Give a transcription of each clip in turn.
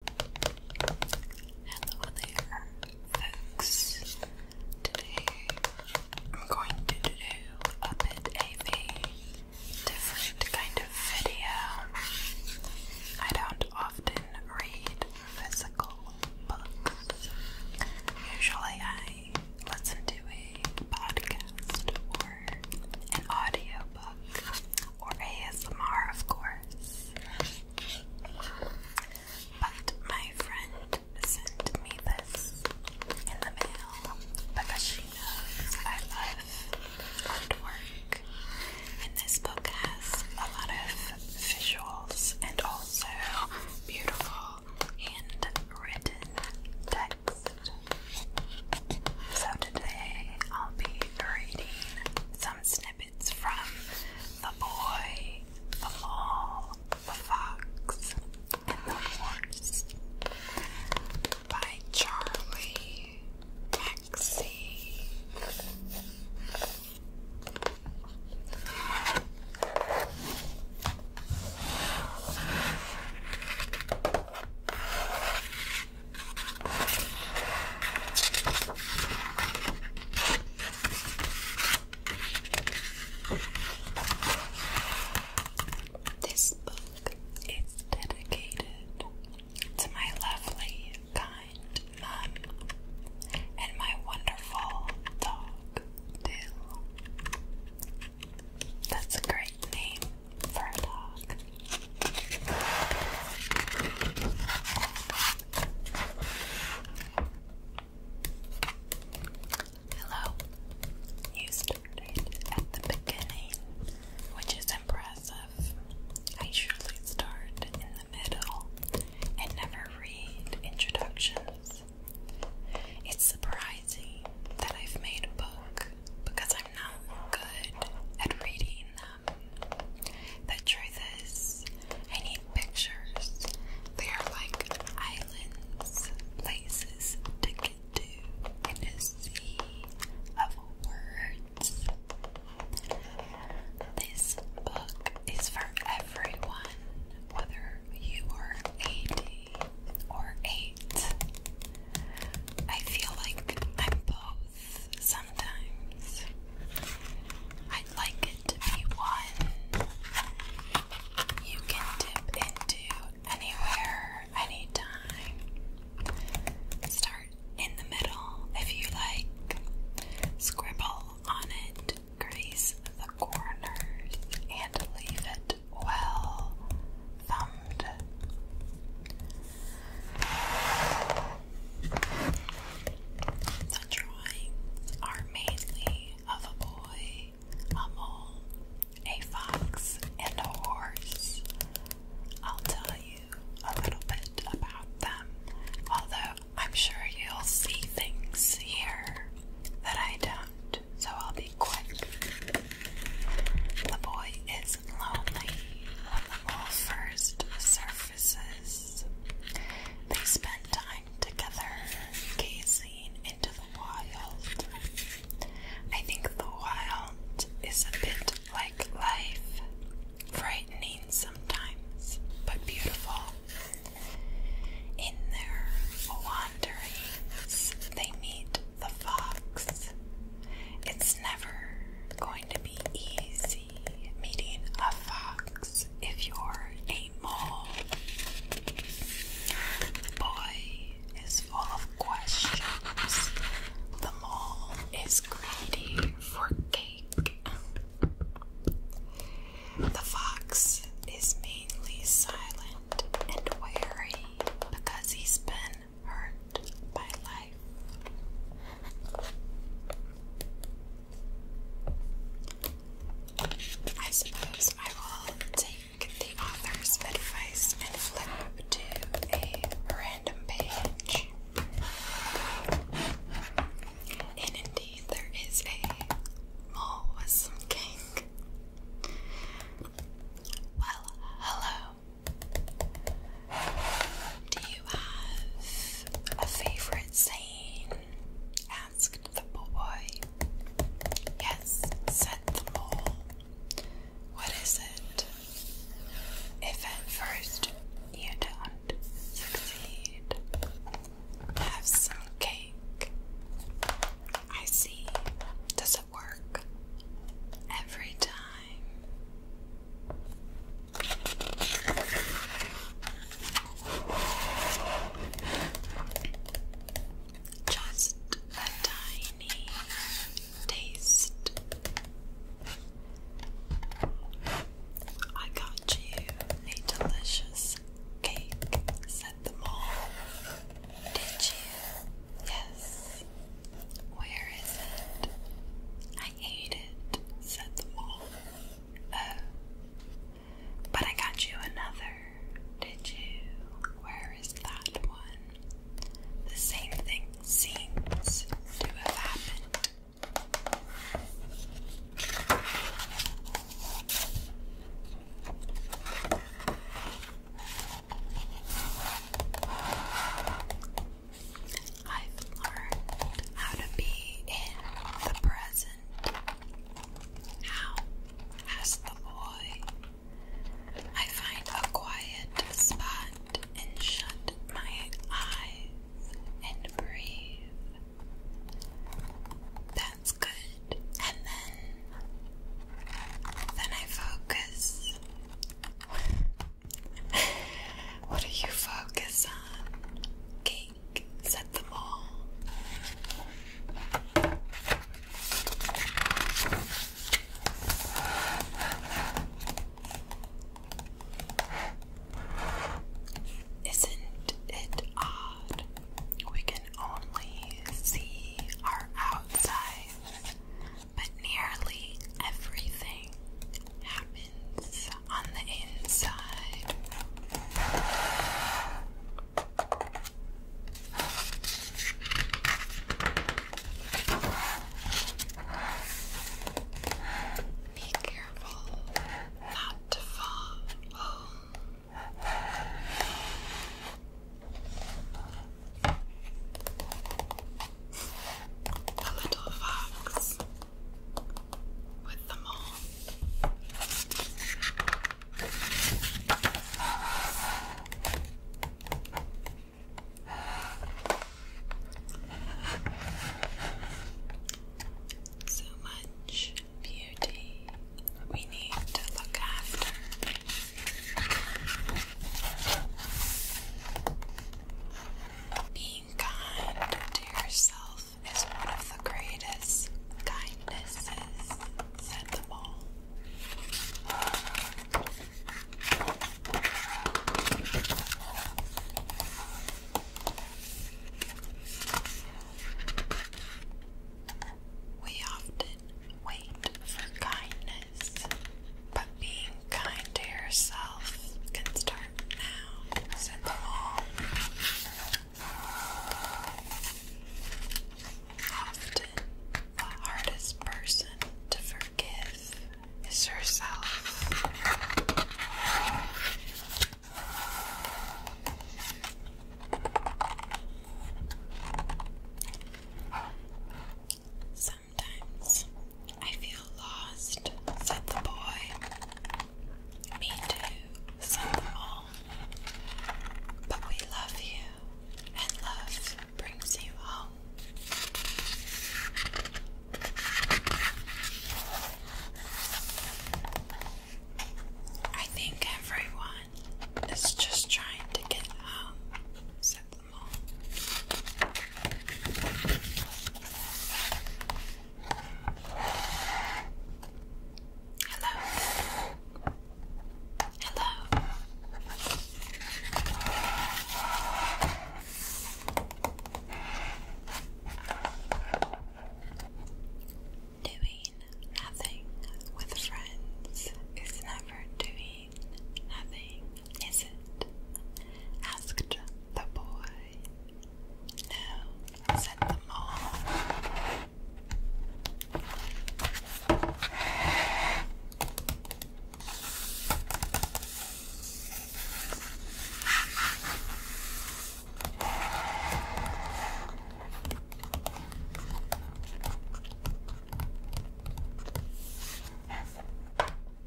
Hello there, folks. Today I'm going to do a bit of a different kind of video. I don't often read physical books. Usually I listen to a podcast or an audiobook or ASMR, of course. But my friend sent me this in the mail because she knows I love artwork. And this book has a lot of visuals and also beautiful handwritten text. So today I'll be reading some snippets it's from The Boy, The Mole, The Fox, and The Horse by Charlie Maxey. This book is dedicated to my lovely, kind mum and my wonderful dog, Dill. That's a great name for a dog. Hello. You started at the beginning, which is impressive. I usually start in the middle and never read introductions. It's surprising that I've made a book because I'm not good at reading the truth is, I need pictures. They are like islands, places to get to in a sea of words. This book is for everyone, whether you are 80 or 8. I feel like I'm both sometimes. I'd like it to be one you can dip into anywhere, anytime. Start in the middle if you like. Scribble on it, grease the corners, and leave it well thumbed. The drawings are mainly of a boy, a mole, a fox, and a horse. I'll tell you a little bit about them, although I'm sure you'll see things here that I don't, so I'll be quick. The boy is lonely on first surfaces. They spend time together, gazing into the wild. I think the wild is a bit like life, frightening sometimes, but beautiful. In their wanderings, they meet the fox. It's never going to be easy meeting a fox if you're a mole. The boy is full of questions. The mole is greedy for cake. The fox is mainly silent and wary because he's been hurt by life. I suppose I will take the author's advice and flip to a random page. And indeed, there is a mole king. Well, hello, do you have a favorite saying? asked the boy. Yes, said the mole. What is it? If at first you don't succeed, have some cake. I see. Does it work? Every time just a tiny taste. I got you a delicious cake, said the mole. Did you? Yes, where is it? I ate it, said the mole. Oh, but I got you another, did you? Where is that one? The same thing seems to have happened. I've learned how to be in the present. How? asked the boy. I find a quiet spot and shut my eyes and breathe. That's good. And then, then I focus what do you focus on? Cake, set them all. Isn't it odd? We can only see our outside but nearly everything happens on the inside. Be careful not to fall. The little fox with the mole. So much beauty we need to look after. Being kind to yourself is one of the greatest kindnesses, said the mole. We often wait for kindness but being kind to yourself can start now. Said the mole. Often, the hardest person to forgive is herself. Some sometimes. I feel lost, said the boy. Me too, said the mole. But we love you, and love brings you home. I think everyone is just trying to get home, Hello. Hello. Doing nothing with friends is never doing nothing, is it? asked the boy. No, said the mole.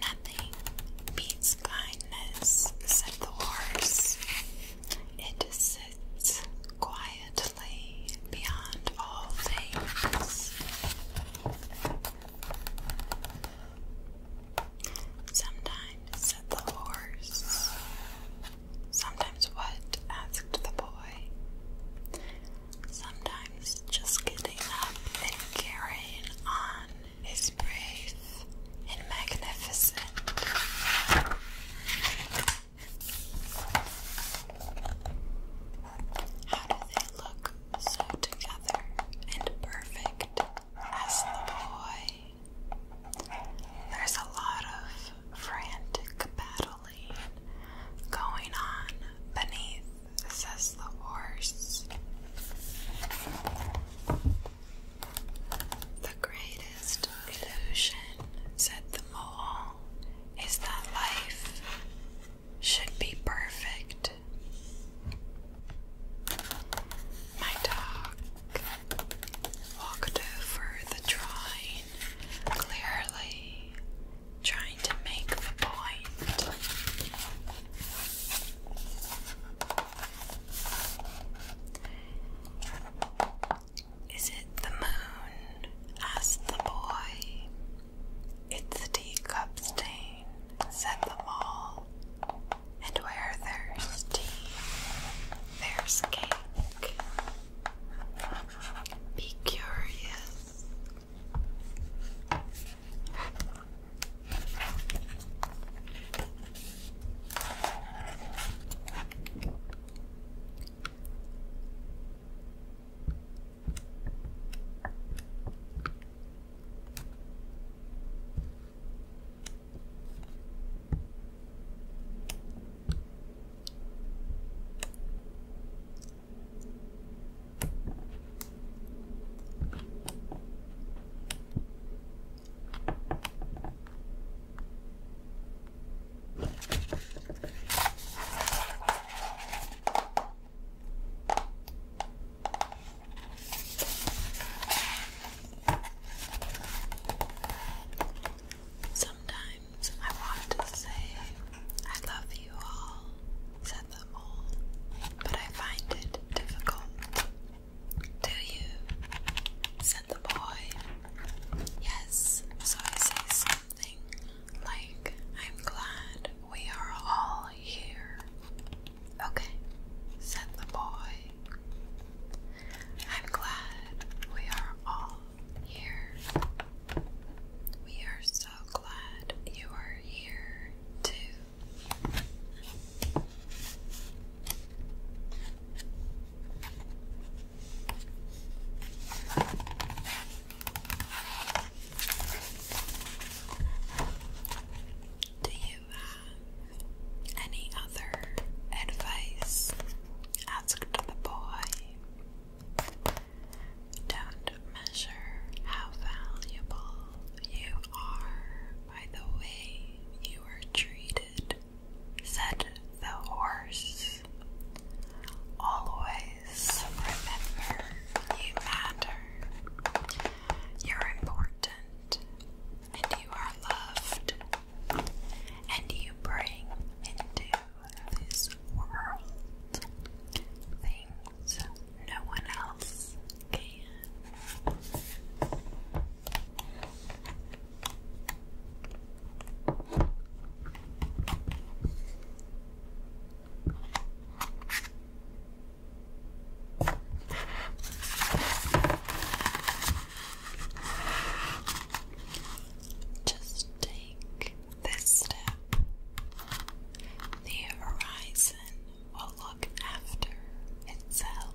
Nothing beats kindness, said the horse. It sits quietly beyond all things. Sometimes, said the horse, Sometimes what? asked the boy. Sometimes just getting up and carrying on is brave and magnificent. How do they look so together and perfect? asked the boy. There's a lot of frantic battle howling going on beneath, says the horse. The greatest illusion, said the mole, is that life should be perfect. My dog walked over the drawing clearly trying to make the point. Is it the moon? asked the boy. It's a teacup stain, said the mall. And where there's tea, there's cake. Be curious. Sometimes things I wanted to say. I love you all, said them all, but I find it difficult. Do you? said the boy. Yes, so I say something like, I'm glad we are all here. Okay, said the boy. I'm glad we are all here. We are so glad you are here, too. Do you have any other advice? asked the boy. Don't measure how valuable you are by the way you are treated, said the horse. Always remember you matter, you're important, and you are loved and you bring into this world things no one else can. Just take this step. The horizon will look after itself.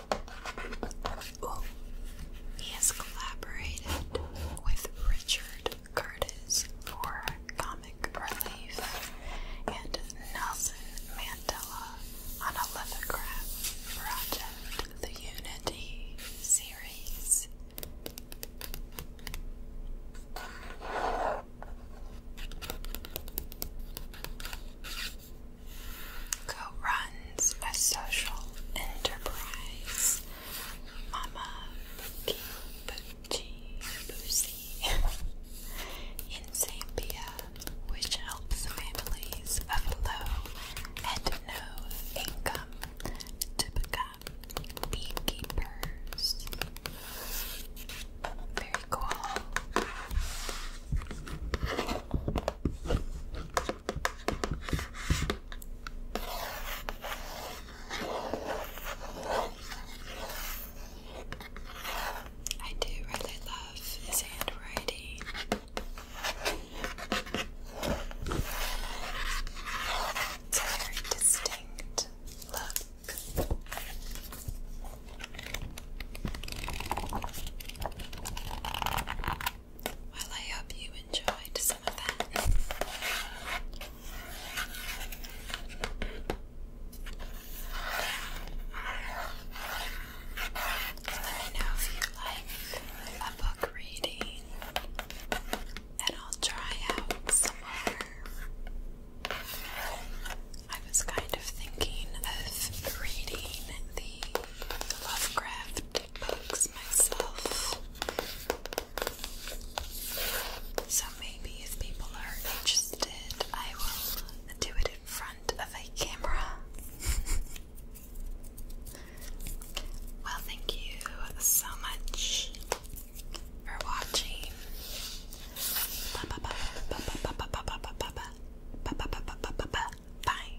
he has collaborated with Richard Curtis for comic relief and Nelson Mandela on a lithograph project, the Unity series co-runs a social enterprise, Mama Bookie Boochie Boosie, in Zambia, which helps families of low and no income to beekeepers. Very cool. I do really love his handwriting. It's a very distinct look. Well, I hope you enjoyed some of that. Let me know if you like a book reading, and I'll try out some more. I was kind of thinking of reading the Lovecraft books myself. So maybe if people are interested, I will do it in front of a camera. well, thank you so much for watching. Bye.